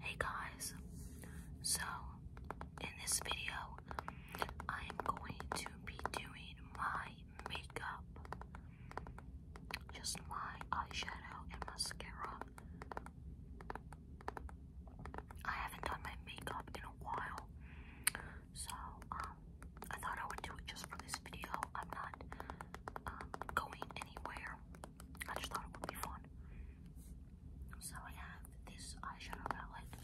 Hey guys, so in this video, I am going to be doing my makeup, just my eyeshadow and mascara. I haven't done my makeup in a while, so um, I thought I would do it just for this video. I'm not um, going anywhere. I just thought it would be fun. So I have this eyeshadow palette.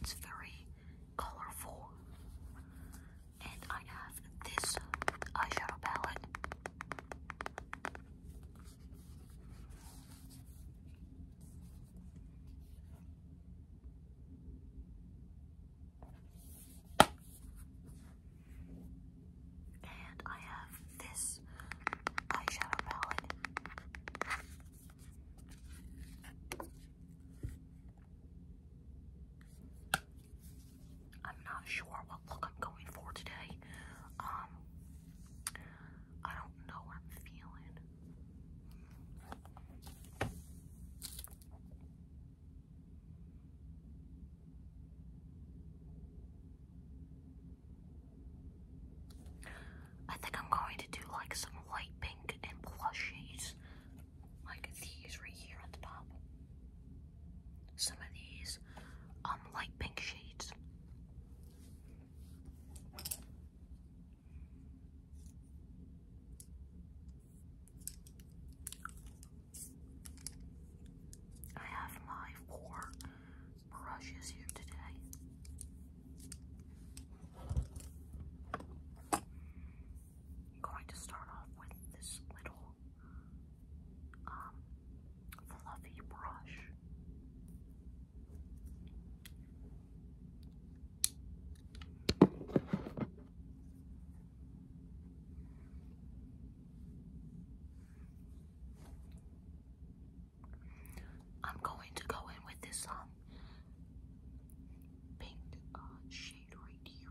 It's very colorful and I have this eyeshadow palette. And I have this eyeshadow palette. I'm not sure what look I'm going for today. Um, I don't know what I'm feeling. I think I'm going to do like some light pink and plush like these right here on the top. Some of these um light pink shades. I have my four brushes here today. I'm going to start off with this little um, fluffy brush. I'm going to go in with this um, paint uh, shade right here.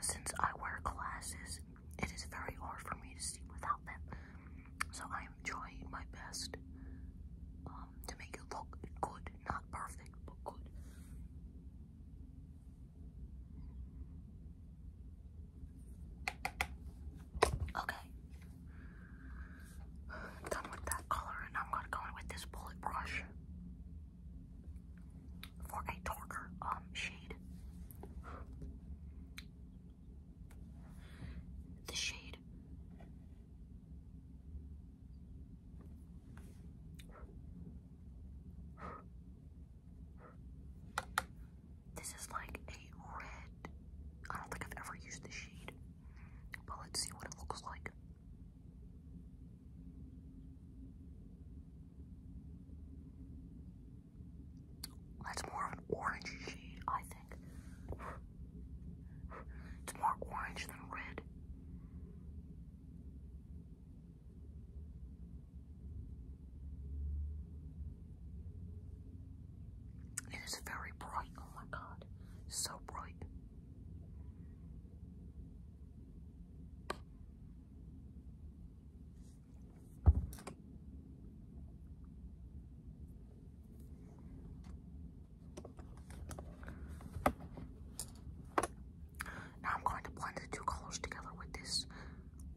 Since I wear glasses, it is very hard for me to see without them. So I am trying my best um, to make it look good, not perfect, but good. Okay. I'm done with color and I'm gonna go in with this bullet brush for a darker um shade. The shade this is like a red. I don't think I've ever used this shade, but let's see what it looks like. That's more of an orange shade, I think. It's more orange than red. It is very bright. Oh my god. So bright. Now I'm going to blend the two colors together with this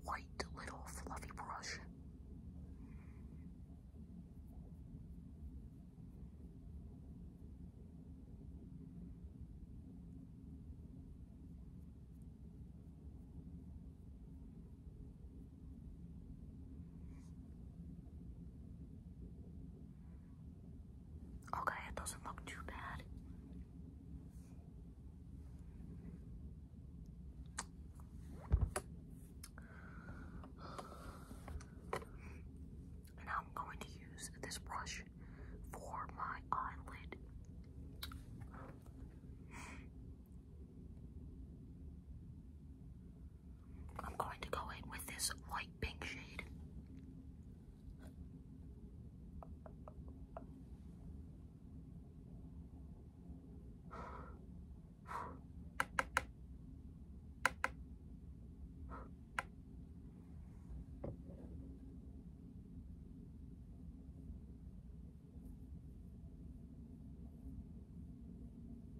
white little fluffy brush. Okay, it doesn't look too bad. And I'm going to use this brush for my eyelid. I'm going to go in with this light pink shade.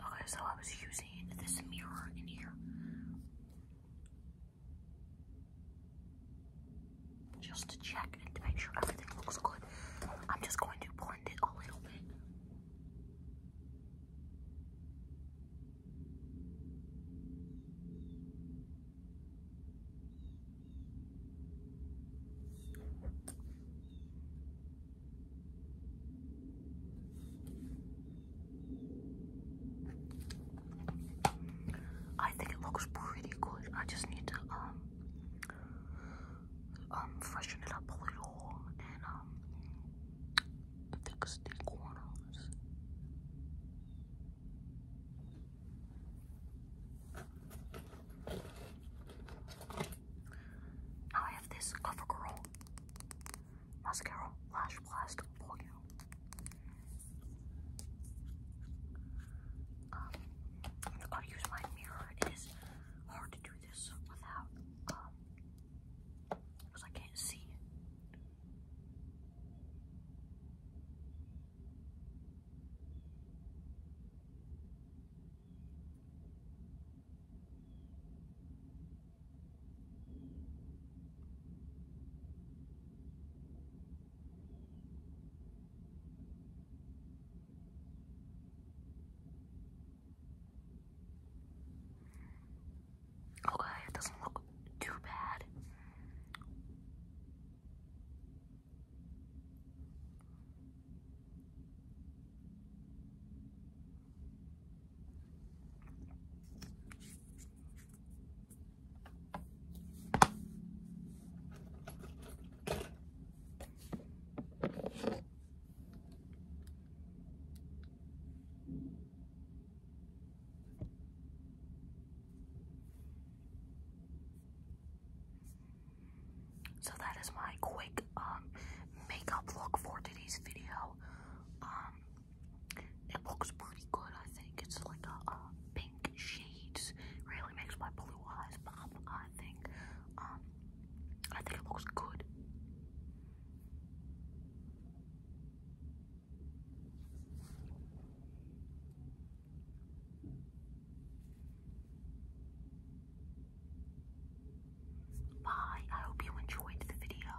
Okay, so I was using this mirror in here just to check and to make sure everything looks good. I'm just going to blend it a little bit. I think it looks pretty good. I just need to um um, freshen it up a little, and um, fix the corners. I have this CoverGirl mascara lash blast volume um, i use my mirror. It is hard to do this without, um, because I can't see Okay, it doesn't look too bad. So that is my quick um, makeup look for today's video. Um, it looks pretty good, I think. It's like a, a pink shades. Really makes my blue eyes pop, I think. Um, I think it looks good. Bye. I hope you enjoyed the video.